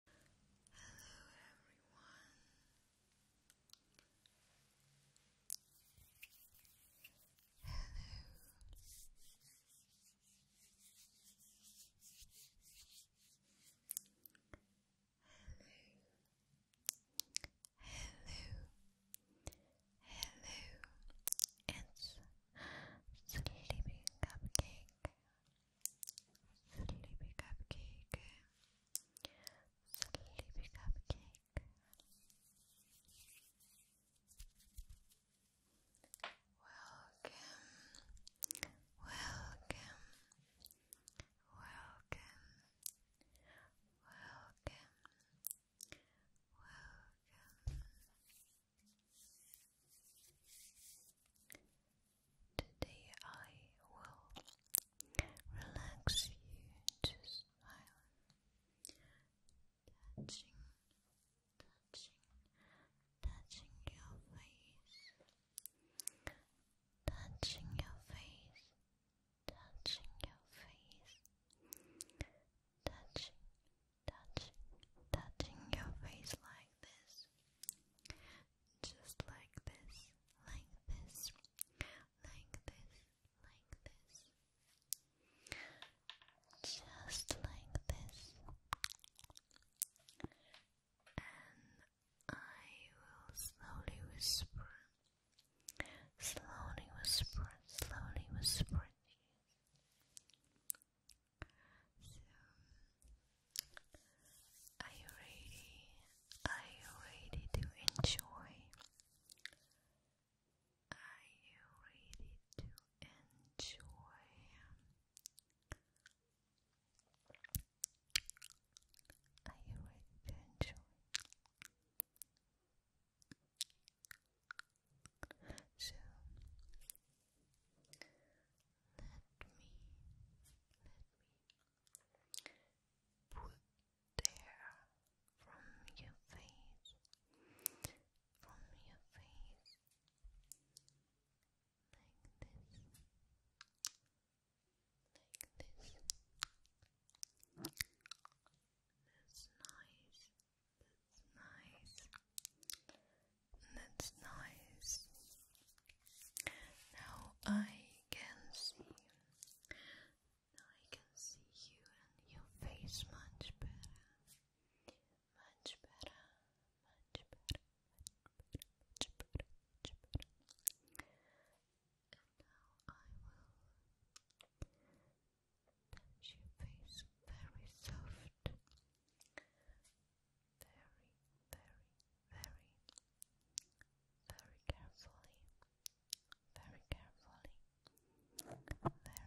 Hello everyone. Hello. Hello. Hello. Hello. It's sleeping cupcake. Sleepy Cupcake Sleepy Cupcake Welcome Welcome Welcome Welcome Welcome Today I will relax you to silence, touching, touching, touching your face, touching your face, touching your face, touching, touching, touching your face like this just like this, like this, like this, like this, just like this, and I will slowly whisper, slowly whisper, slowly whisper to you. So, are you ready? Are you ready to enjoy? Are you ready to enjoy? Are you ready to enjoy? So, let me, let me put the from your face, from your face, like this, like this. That's nice. That's nice. That's nice. Now I can see. Now I can see you and your face much better. Much better. Much better. Much better. Much better. Much better. And now I will touch your face very soft very, very, very, very carefully, very carefully, very carefully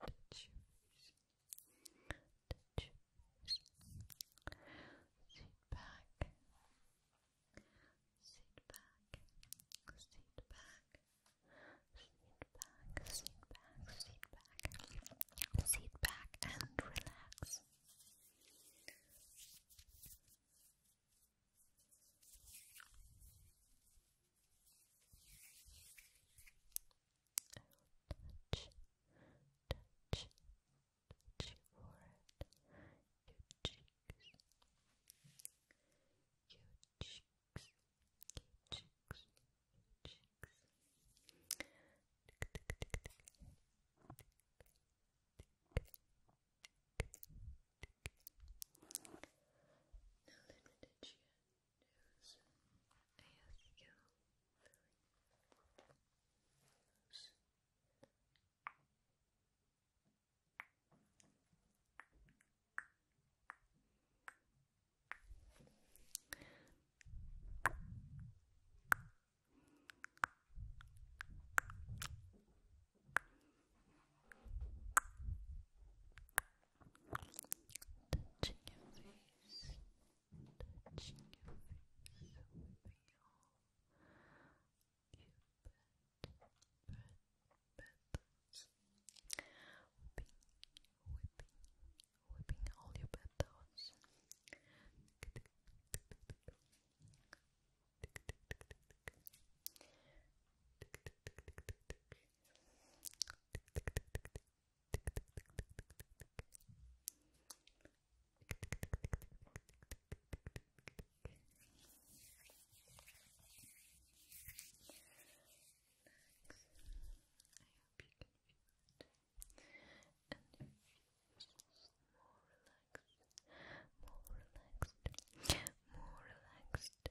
touch your face, touch your face, sit back, sit back, sit back, sit back, sit back, sit back, sit back and relax. I will touch, touch, touch your forehead, your cheeks, your cheeks, your cheeks, cheeks. Tick, tick, tick, tick. Now let me touch nose, ASL, nose. Nose touching your face, touching your face, sweeping all your bed, bed, bedtowns, whipping, whipping, whipping all your bedtowns. Tick, more relaxed, more relaxed,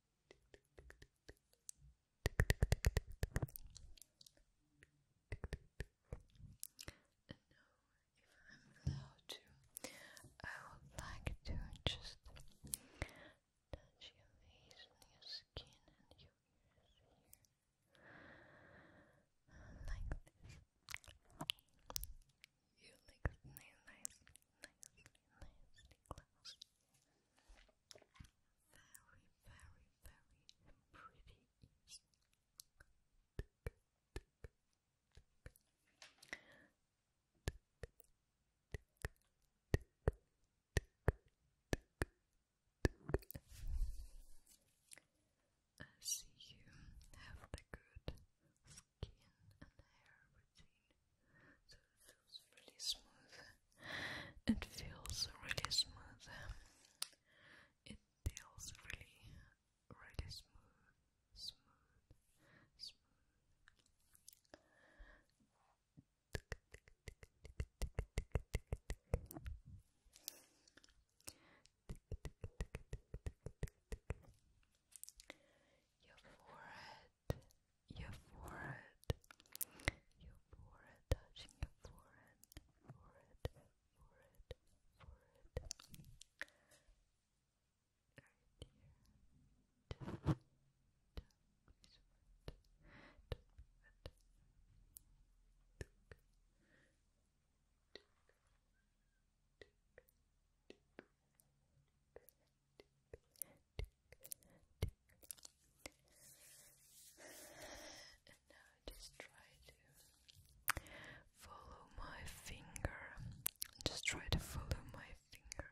now, if I'm allowed to, I would like to just touch your face and your skin and your ears like this. You look nice, nicely, nicely, nicely close. Very, very, very pretty. I you have the good skin and hair routine it feels really smooth. It feels really smooth. It feels really, really smooth, smooth, smooth. Your forehead your forehead, your forehead, touching your forehead, forehead, forehead, forehead. Right here. And now just try to follow my finger. Just try to follow my finger.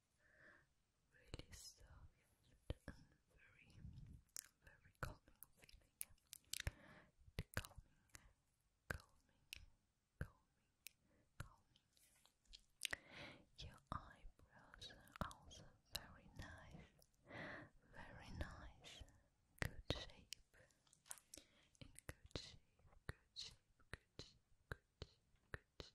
really soft and very, very calming feeling. calming, calming, calming, calming. Your eyebrows are also very nice, very nice, good shape, in good shape, good shape, good good good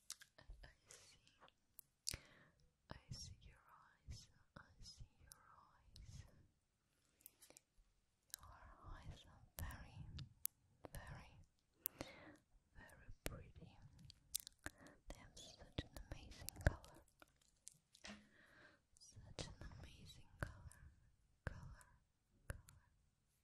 I see. I see your eyes. I see your eyes. Your eyes are very, very, very pretty. They have such an amazing color. Such an amazing color. Color. Color.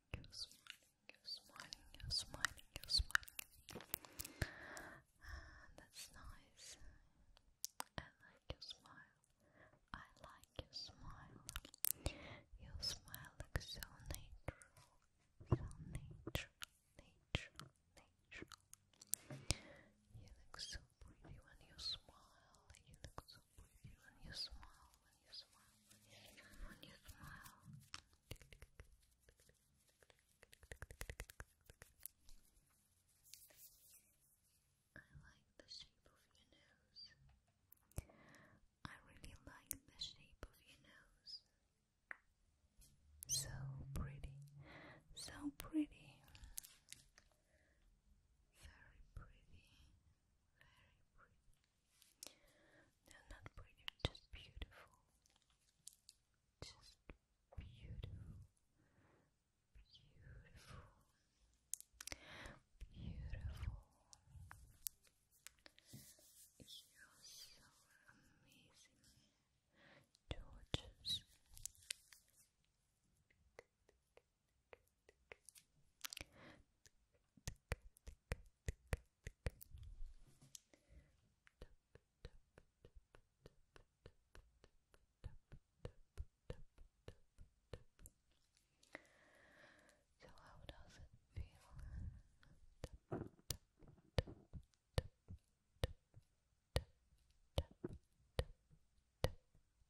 you're smiling, you're smiling, you're smiling, you're smiling. Ah, that's nice. I like your smile. I like your smile. Your smile looks so natural. So natural, natural, natural. You look so pretty when you smile. You look so so pretty when you smile, when you smile, when you smile. I like the shape of your nose. I really like the shape of your nose. So pretty, so pretty, very pretty, very pretty. They're not pretty, just beautiful. Just beautiful. Beautiful. Beautiful. You're so amazing. Gorgeous. So how does it feel?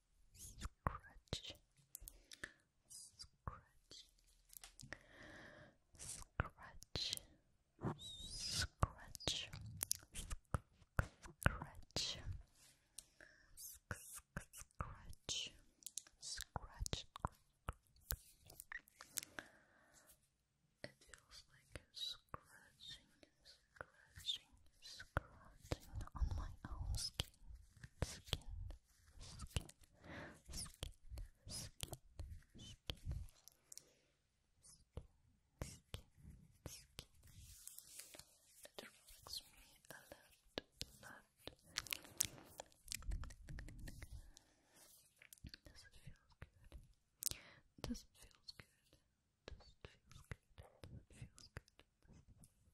scratch, scratch, scratch, scratch, scratch. Scratch, scratch. It feels like scratching, scratching, scratching on my own skin skin, skin, skin, skin, skin, skin, skin, skin. It relaxes me a lot, Does it feel good? Does it feel good? Does it feel good? Does it feel good?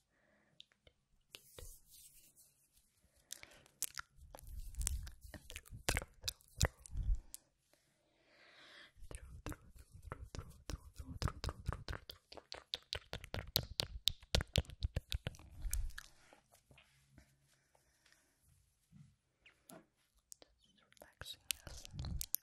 relaxing us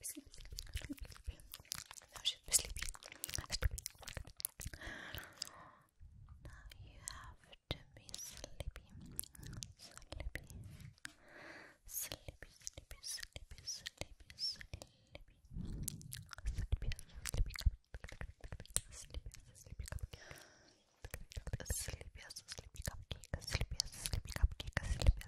sleepy, sleepy, sleepy. Now she's sleepy, sleepy. Now you have to be sleepy, sleepy, sleepy, sleepy, sleepy, sleepy, sleepy, sleepy, sleepy, sleepy, sleepy, sleepy. Sleepy as a sleepy cupcake, sleepy as a sleepy cupcake, sleepy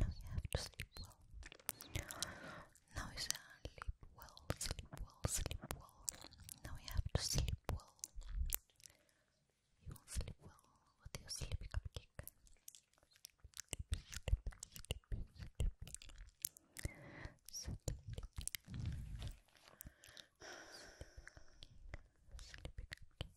now you have to sleep well. Now you sleep well, sleep well, sleep well. Now you have to sleep well. You sleep well with your sleepy cupcake. Sleepy, sleepy, sleepy, sleepy. Sleepy, sleepy. Sleepy cupcake. cupcake